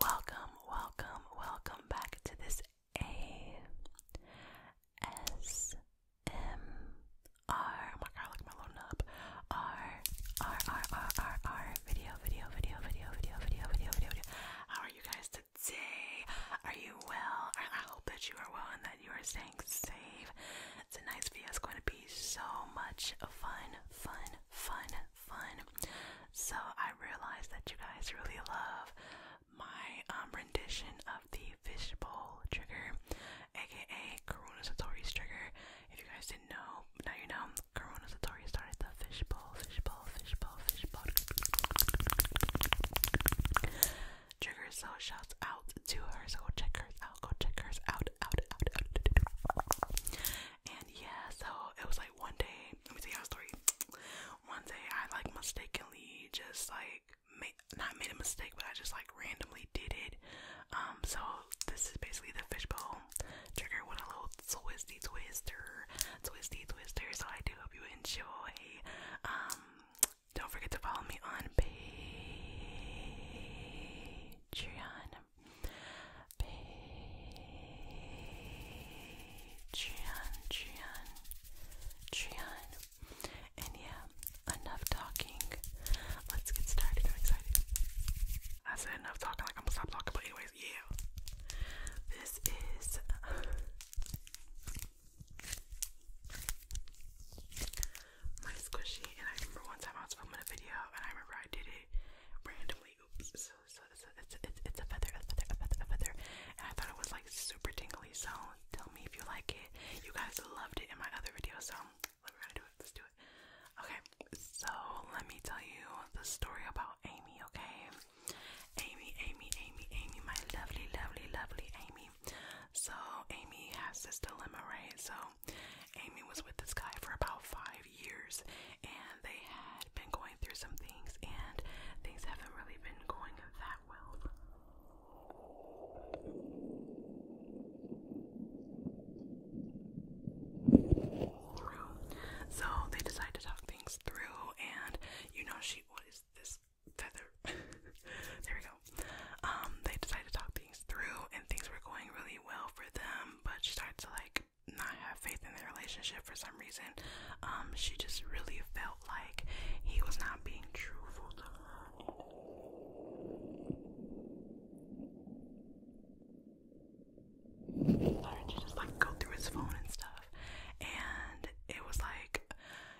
Welcome, welcome, welcome back to this ASMR. Oh my God, look my little nub. R, R, R, R, R, R. Video, video, video, video, video, video, video, video, How are you guys today? Are you well? I, hope that you are well and that you are staying safe. nice video It's going to be so much fun, fun, fun, fun. So I realized that you guys really love my um, rendition of the fishbowl trigger, aka Corona Satori's trigger. If you guys didn't know, now you know. Corona Satori started the fishbowl, fishbowl, fishbowl, fishbowl. Trigger so shouts out to her, so go check hers out, go check hers out, out, out, out. And yeah, so it was like one day, let me tell y'all a story. One day I like mistakenly just like made, not made a mistake, but I just like randomly did it. Um, so this is basically the fishbowl trigger with a little twisty twister, twisty twister. So I do hope you enjoy. Um, don't forget to follow me on Patreon. Patreon, Patreon, Patreon. And yeah, enough talking. Let's get started. i I said enough talking, like I'm gonna stop talking, but anyways, yeah. This is my squishy, and I remember one time I was filming a video, and I remember I did it randomly. Oops! So, so so, it's a, feather, a feather, a feather, a feather, and I thought it was like super tingly. So tell me if you like it. You guys loved it in my other video, so we're gonna do it. Let's do it. Okay, so let me tell you the story about Amy. Okay, Amy, Amy, Amy, Amy, my lovely, lovely, lovely Amy. So Amy has this dilemma, right? So Amy was with this guy for about five years and they had been going through some things and things haven't really been going that well. So they decide to talk things through and you know she what is this there we go. Um, they decided to talk things through, and things were going really well for them. But she started to like not have faith in their relationship for some reason. Um, she just really felt like he was not being truthful to her. Started to just like go through his phone and stuff, and it was like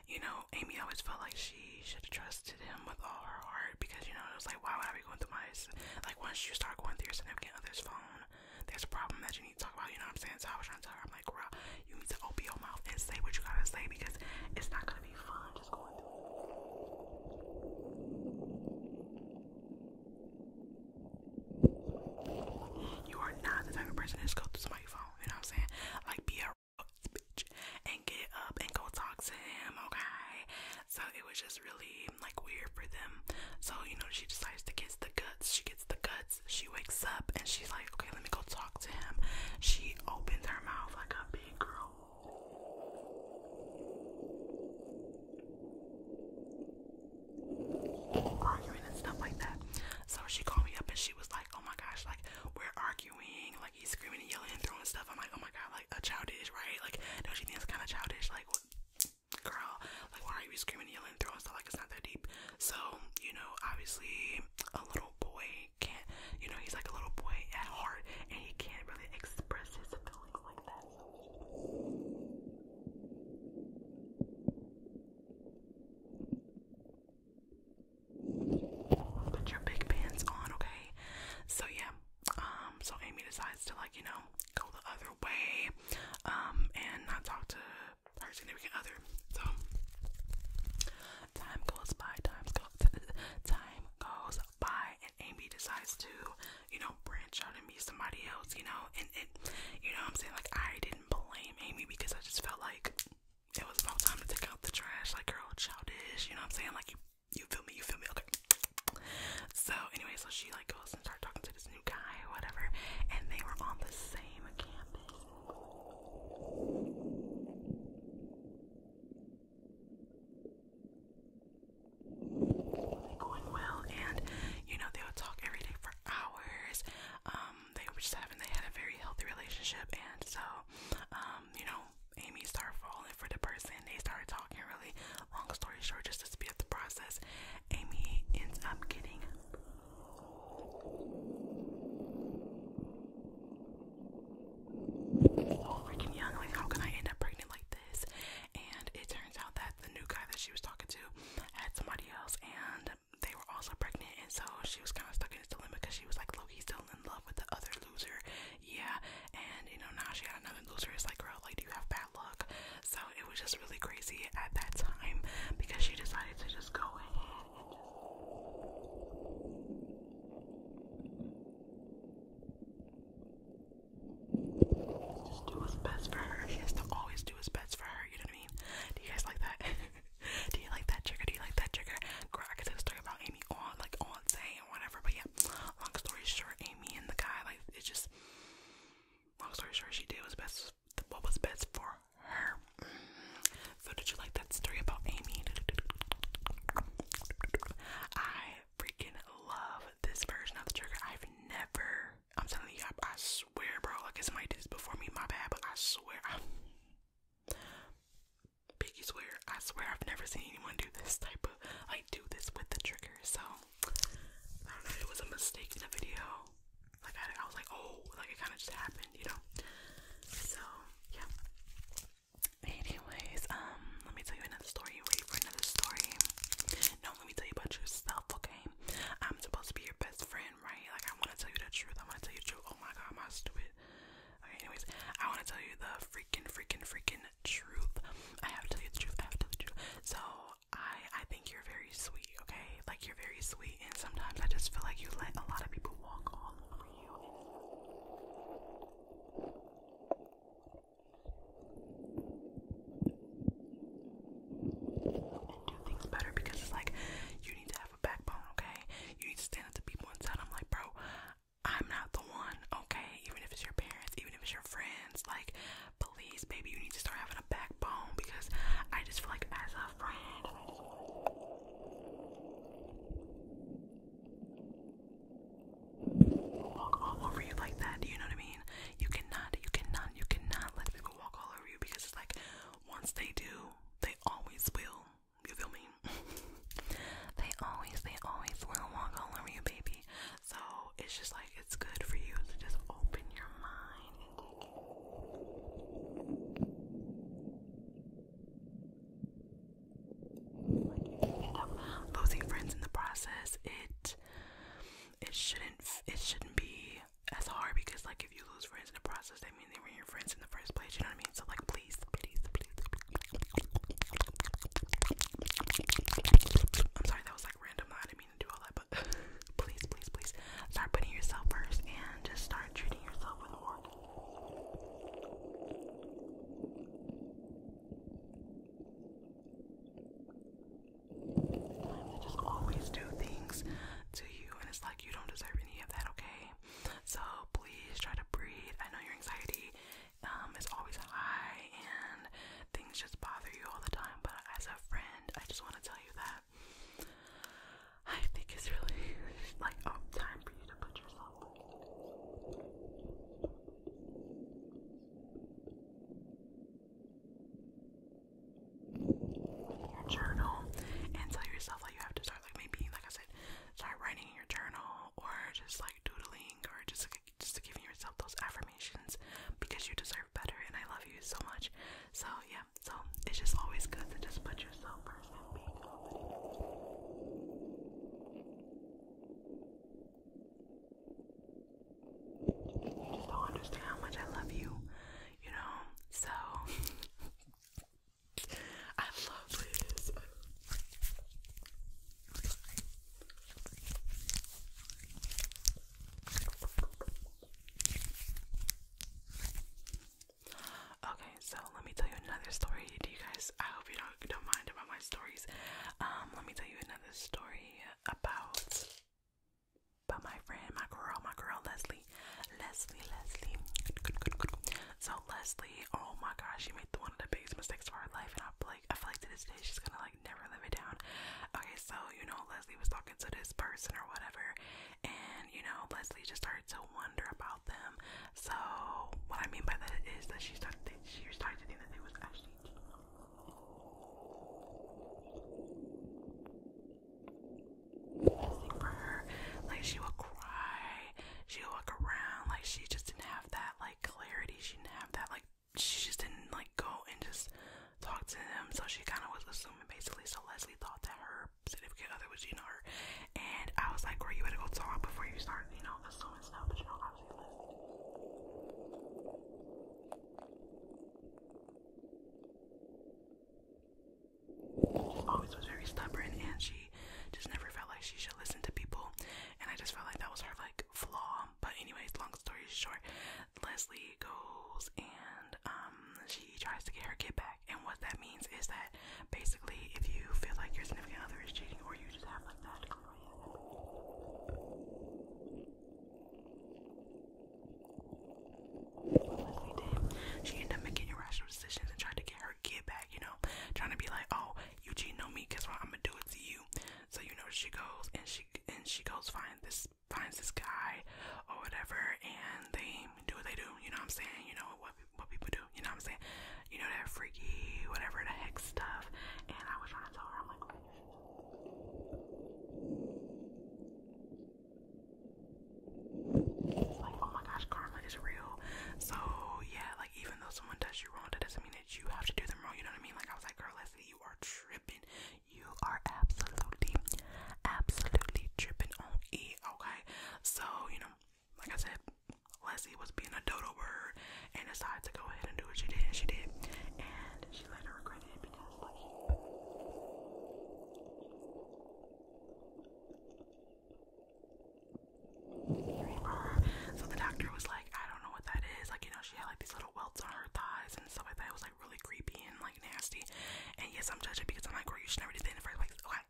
you know, Amy always felt like she should have trusted him with all her heart because, you know, it was like, why would I be going through my, like, once you start going through your significant other's phone, there's a problem that you need to talk about, you know what I'm saying? So I was trying to tell her, I'm like, girl, you need to open your mouth and say what you gotta say because it's not gonna be fun just going through You are not the type of person that's go through somebody's phone you know what I'm saying? Like be a bitch and get up and go talk to him, okay? So it was just really like weird for them. So, you know, she decides to get the guts. She gets the guts, she wakes up and she's like, Okay, let me go talk to him. She opens her mouth like a big girl. Arguing and stuff like that. So she called me up and she was oh my gosh, like we're arguing, like he's screaming and yelling and throwing stuff. I'm like, oh my god, like a childish, right? Like, don't you think it's kind of childish? Like, girl, like why are you screaming and yelling and throwing stuff? Like it's not that deep. So you know, obviously, a little boy can't. You know, he's like a little boy at heart, and he can't really express his feelings like that. Put your big pants on, okay? So yeah, um, so Amy decides to like, you know, go the other way, um, and not talk to her significant other. So time goes by, time goes time goes by and Amy decides to, you know, branch out and meet somebody else, you know, and it you know I'm saying? Like I didn't blame Amy because I just felt like it was about time to take out the trash, like girl, childish, you know what I'm saying? Like you, you feel me, you feel me, okay. So anyway, so she like goes and starts talking to this new guy or whatever, and they were on the same campus. Going well, and you know they would talk every day for hours. Um, um, they were just they had a very healthy relationship, and so, um, you know, Amy started falling for the person. They started talking really. Long story short, just to speed up the process, Amy ends up getting. So young, like how can I end up pregnant like this? And it turns out that the new guy that she was talking to had somebody else, and they were also pregnant, and so she was kind of stuck in this dilemma because she was like, Loki's still in love with the other loser, yeah. And you know, now she had another loser. It's like, girl, like, do you have bad luck? So it was just really crazy at that time because she decided to just go ahead and just. do what's best for her. She has to always do what's best for her. You know do you guys like that? do you like that trigger? Do you like that trigger? Crack. I could a story about Amy on like on say or whatever, but yeah, long story short, Amy and the guy, like it just long story short, she did was best what was best for her. So did you like that story about Amy? I freaking love this version of the trigger. I've never I'm telling you, I, swear, bro. Like, somebody did this before me, my bad, but I swear. I, Piggy swear. I swear I've never seen anyone do this type of, I do this with the trigger. So, I don't know if it was a mistake in the video. Like, I, I was like, oh, like, it kind of just happened, you know? So, yeah. Anyways, um, let me tell you another story. You ready for another story? No, let me tell you about yourself, okay? I'm supposed to be your best friend, right? Like, I want to tell you the truth. I want to tell you the truth. Oh my god, am I stupid? Okay, anyways, I want to tell you the freaking, freaking, freaking truth. I have to tell you the truth. I have to tell you the truth. So, I, I think you're very sweet, okay? Like, you're very sweet, and sometimes I just feel like you let a lot of people walk all over you do things better because it's like you need to have a backbone, okay? You need to stand up to people and tell them like, bro, I'm not the one, okay? Even if it's your parents, even if it's your friends, like, please, baby, you need to start having a backbone because I just feel like as a friend. Walk all over you like that, you know what I mean? You cannot, you cannot, you cannot let people walk all over you because it's like once they do, they always will. You feel me? they always, they always will walk all over you, baby. So it's just like it's good for you to just open your mind. losing friends in the process. It it shouldn't it shouldn't be that's hard because like if you lose friends in the process, that means they were your friends in the first place. You know what I mean? So like, please, please, please. I'm sorry that was like random. I didn't mean to do all that, but please, please, please start putting yourself first and just start treating yourself with more. I just always do things to you, and it's like you don't deserve any of that, okay? So please try to breathe. I know your anxiety um, is always high, and things just bother you all the time, but as a friend, I just want to tell you that I think it's really like oh, time for you to put yourself your journal and tell yourself that you have to start like maybe like I said, start writing in your journal or just like doodling or just just giving yourself those affirmations because you deserve better and I love you so much. So yeah, so it's just always good to just put yourself first and be confident don't understand how much I love you, you know? So, I love this. Okay, so let me tell you another story. Do you guys? I hope you don't don't mind about my stories. Um, let me tell you another story about but my friend, my girl, my girl Leslie, Leslie, Leslie. So Leslie, oh my gosh, she made one of the biggest mistakes of her life, and I feel like I feel like to this day she's gonna like never live it down. Okay, so you know Leslie was talking to this person or whatever, and you know Leslie just started to wonder about them. So what I mean by that is that she started she started to think that they was actually. Like she would cry. She would walk around. Like she just didn't have that like clarity. She didn't have that like she just didn't like go and just talk to him. So she kind of was assuming basically. So Leslie thought that her significant other was you know her, and I was like, "Girl, you had to go talk before you start, you know, assuming stuff." But you know, obviously Leslie always was very stubborn and she just never felt like she should listen to people and I just felt like that was her like flaw. But anyways, long story short, Leslie goes and um she tries to get her get back and what that means is that basically if you feel like your significant other is cheating or you just have like that Leslie did. She ended up making irrational decisions and tried to get her kid back, you know, trying to be like, oh, Eugene know me, guess what? I'm gonna do it to you. So you know she goes and she and she goes find this finds this guy or whatever, and they do what they do. You know what I'm saying? You know what what people do. You know what I'm saying? You know that freaky whatever the heck stuff. And I was trying to tell her, I'm like, oh, like, oh my gosh, karma is real. So, yeah, like, even though someone does you wrong, that doesn't mean that you have to do them wrong. You know what I mean? Like, I was like, girl, let you are tripping. You are absolutely, absolutely tripping on E, okay? So, you know, like I said, Leslie was being a dodo bird and decided to go ahead and do what she did, and she did. And she later regretted it because, like, she. So the doctor was like, I don't know what that is. Like, you know, she had like these little welts on her thighs and stuff like that. It was like really creepy and like nasty. And yes, I'm judging because I'm like, girl, you should never do that in the first place. Okay.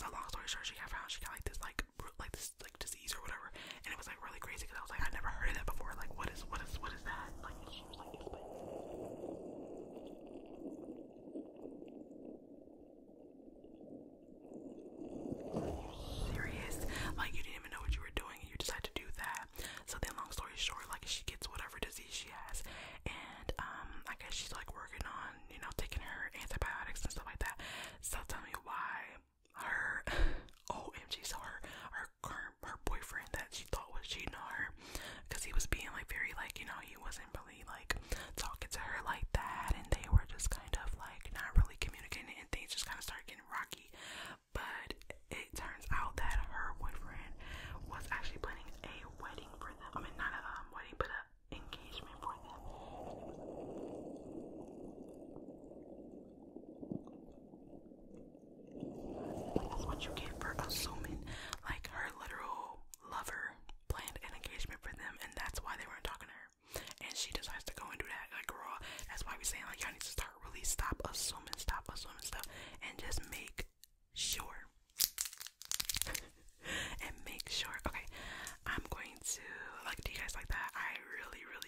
So long story short, she got found. She got like this, like, like this disease or whatever, and it was like really crazy because I was like, I never heard of that before. Like, what is what is what is that? Like, it's like serious. Like, you didn't even know what you were doing, and you decided to do that. So then, long story short, like she gets whatever disease she has, and um, I guess she's like working on you know taking her antibiotics and stuff like that. So tell me why her OMG, oh, so her her current her boyfriend that she thought was cheating on her, because he was being like very like you know he wasn't really like talking to her like that, and they were just kind of like not really communicating, and things just kind of started getting rocky. But it turns out that her boyfriend was actually planning a wedding for them. I mean, not a um, wedding, but an engagement for them. That's What you get for assuming, like her literal lover planned an engagement for them, and that's why they weren't talking to her. And she decides to go and do that. Like, girl, that's why we're saying, like, y'all need to start really stop assuming, stop assuming stuff, and just make sure. and make sure. Okay, I'm going to, like, do you guys like that? I really, really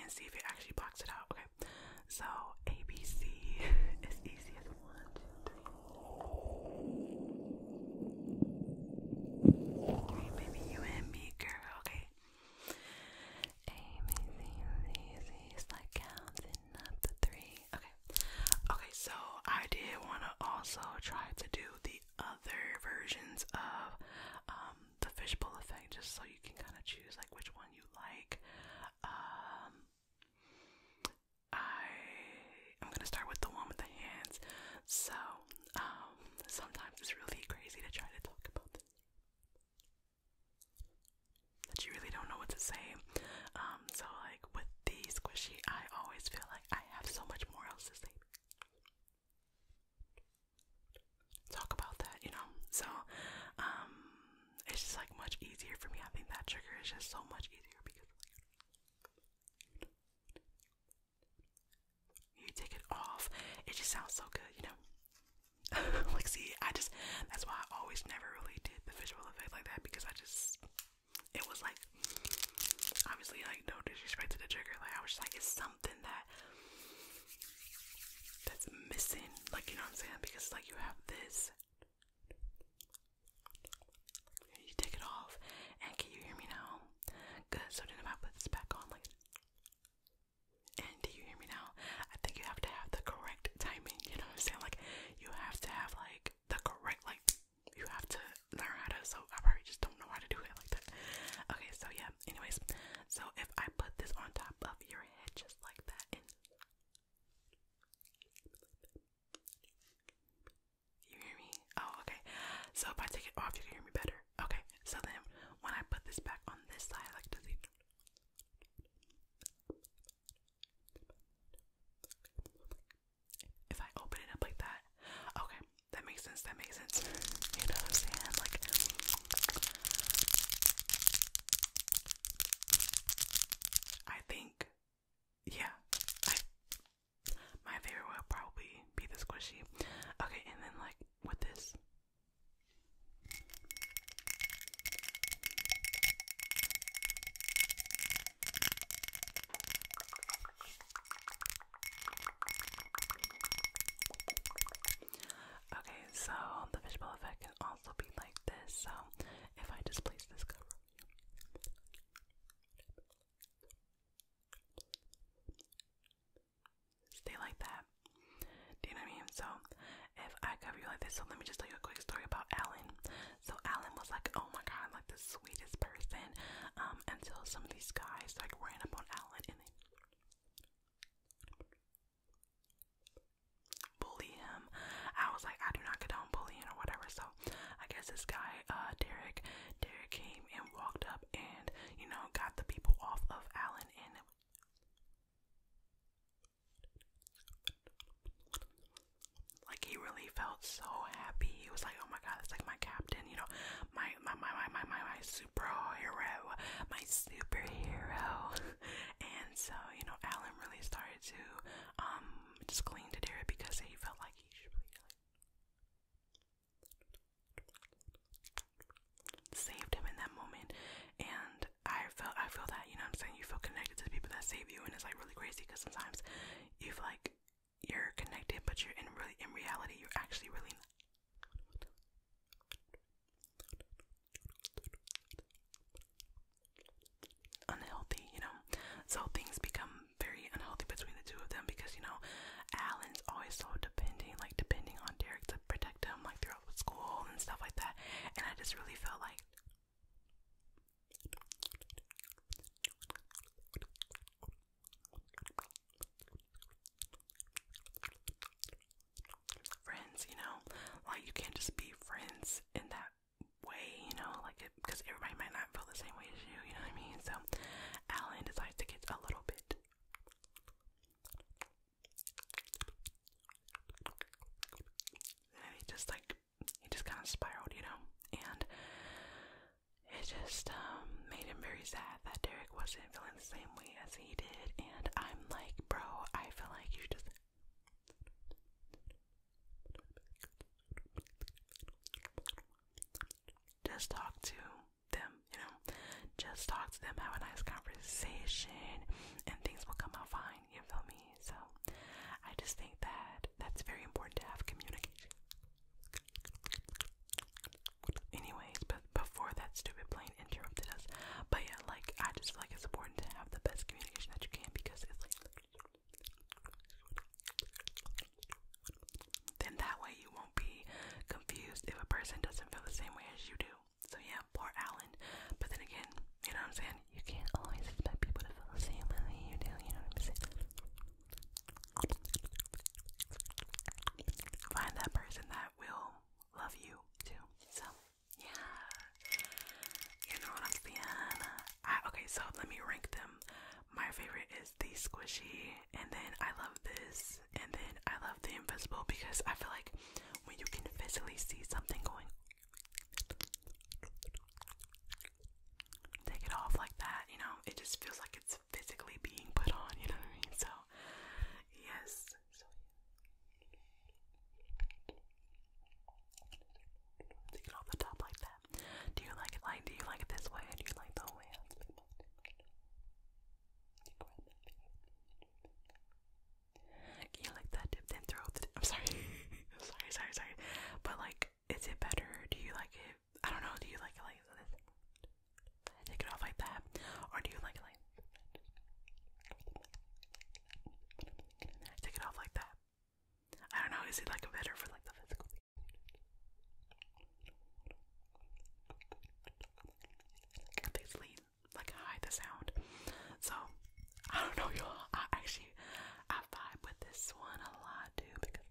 and see if it actually blocks it out. Okay, so ABC is easy as Okay, baby, you and me, girl. Okay, ABC is like counting up to three. Okay, okay. So I did want to also try to do the other versions of the fishbowl effect just so you can kind of choose like which one you like. Um, I I'm gonna start with the one with the hands. So um, sometimes it's really crazy to try to talk about that you really don't know what to say. Um, so like with the squishy, I always feel like I have so much more else to say talk about that, you know? So, um, it's just like much easier for me. I think that trigger is just so much easier because you take it off, it just sounds so good, you know? like, see, I just, that's why I always never really did the visual effect like that because I just, it was like, obviously, like, no disrespect to the trigger, like, I was just like, it's sounds that that's missing. Like you know what I'm saying? Because like you have this. You take it off, and can you hear me now? Good. So then if I put this back on, like, and do you hear me now? I think you have to have the correct timing. You know what I'm saying? Like, you have to have like the correct like. You have to learn how to. So I probably just don't know how to do it like that. Okay. So yeah. Anyways, so if I put this on top of your head just like that you hear me? Oh, okay. So if I take it off, you can hear me better. Okay. So then when I put this back on this side, like does if I open it up like that, okay, that makes sense. That that makes sense. You know what I'm saying? Like I think yeah. I my favorite would probably be the squishy. Okay, and then like with this Okay, so the fishbowl effect can also be like this. So if I just place this cover, stay like that. Do you know what I mean? So if I cover you like this, so let me just tell you a quick story about Alan. So Alan was like, oh my god, like the sweetest person. Um, until some of these guys like ran up on Alan and bully him. I was like, I do not condone bullying or whatever. So I guess this guy, uh, Derek, Derek came and walked up and you know got the people off of Alan and. Like he really felt so happy. He was like, "Oh my God, it's like my captain, you know, my my my my my my superhero, my superhero. and so you know, Alan really started to um just cling to Derek because he felt like he should be like saved him in that moment. And I felt I feel that you know I'm saying you feel connected to the people that save you, and it's like really crazy because sometimes you feel like you're connected, but you're in really in reality you're actually really unhealthy, you know. So things become very unhealthy between the two of them because, you know, Alan's always so depending, like depending on Derek to protect him, like throughout the school and stuff like that. And I just really felt like friends, you know, like you can't just be friends in that way, you know, like it because everybody might not feel the same way as you, you know what I mean? So Alan decides to get a little bit and he just like he just kind of spiraled, you know, and it just um, made him very sad that Derek wasn't feeling the same way as he did. And I'm like, bro, I feel like you just. Just talk to them, you know. Just talk to them, have a nice conversation, and things will come out fine. You feel me? So, I just think that that's very important to have communication. Anyways, before that stupid plane interrupted us, but yeah, like I just feel like it's important to have the best communication that you can because it's like then that way you won't be confused if a person doesn't feel the same way as you do. So yeah, poor Alan. But then again, you know what I'm saying? You can't always expect people to feel the same way you do, you know what I'm saying? Find that person that will love you too. So, yeah. You know what I'm saying? okay, so let me rank them. My favorite is the squishy, and then I love this, and then I love the invisible because I feel like when you can visibly see something going, take it off like that, you know, it just feels like it's physically being put on, you know what I mean? So, yes. take it off the top like that. Do you like it like, do you like it this way or you like the way am Can you like that dip then throw I'm sorry. sorry, sorry, sorry. But like, is it better? Do you like it I don't know, do you like it like take it off like that? Or do you like it like take it off like that? I don't know, is it like a better for like the physical? They lean like hide the sound. So I don't know y'all. I actually I vibe with this one a lot too because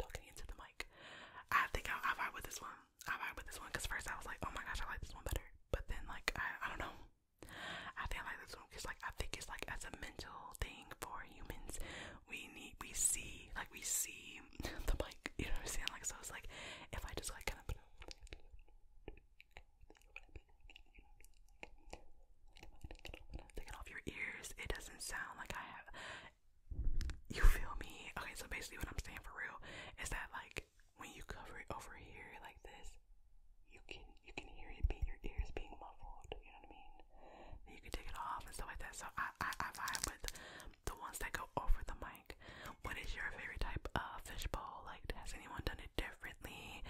Talking into the mic. I think I, I vibe with this one. I vibe with this one because first I was like, oh my gosh, I like this one better. But then like I, I don't know. I think I like this one because like I think it's like as a mental thing for humans. We need we see like we see the mic. You know what I'm saying? Like so it's like if I just like kind of Taking off your ears, it doesn't sound like I have. You feel me? Okay, so basically, what I'm saying for real is that like when you cover it over here like this, you can you can hear it being your ears being muffled. You know what I mean? you can take it off and stuff like that. So I I, I vibe with the ones that go over the mic. What is your favorite type of fishbowl? Like, has anyone done it? differently?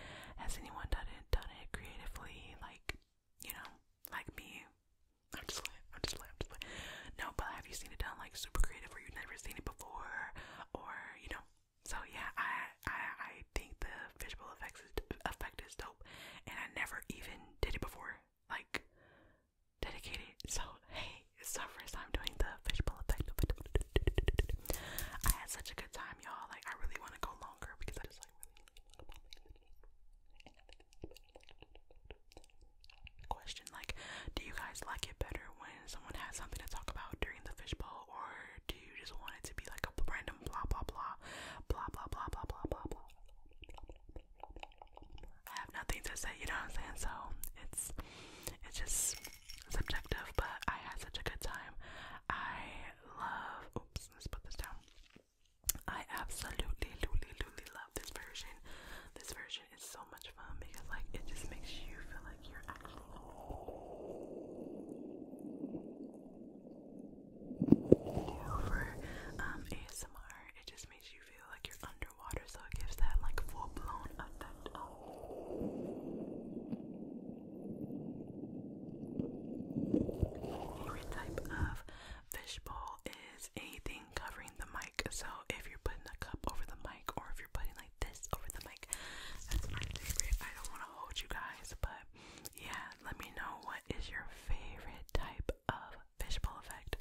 Has anyone done it done it creatively? Like, you know, like me. I'm just I'm just like No, but have you seen it done like super creative where you've never seen it before? Or, you know. So yeah, I I I think the visual effects effect is dope and I never even did it before. Like dedicated. So hey, it's our first time doing the visual effect I had such a good time, y'all. Like, I really want to go longer because I just like question like do you guys like it better when someone has something to talk about during the fishbowl or do you just want it to be like a random blah blah blah blah blah blah blah blah blah I have nothing to say you know what I'm saying so it's it's just subjective, but I had such a good time. I love. Oops, let's put this down. I absolutely, absolutely love this version. This version is so much fun because, like, it just makes you feel like you're actually. For um, ASMR, it just makes you feel like you're underwater, so it gives that like full blown effect your type of fishbowl is anything covering the mic. So if you're putting a cup over the mic, or if you're putting like this over the mic, that's my favorite. I don't want to hold you guys, but yeah, let me know what is your favorite type of fishbowl effect.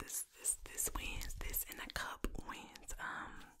This this this wins. This in a cup wins. Um,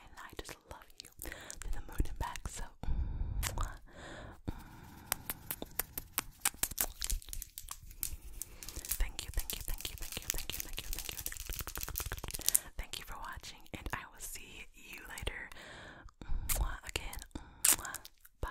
And I just love you to the moon and back. So, thank you, thank you, thank you, thank you, thank you, thank you, thank you, thank you for watching, and I will see you later. again, bye.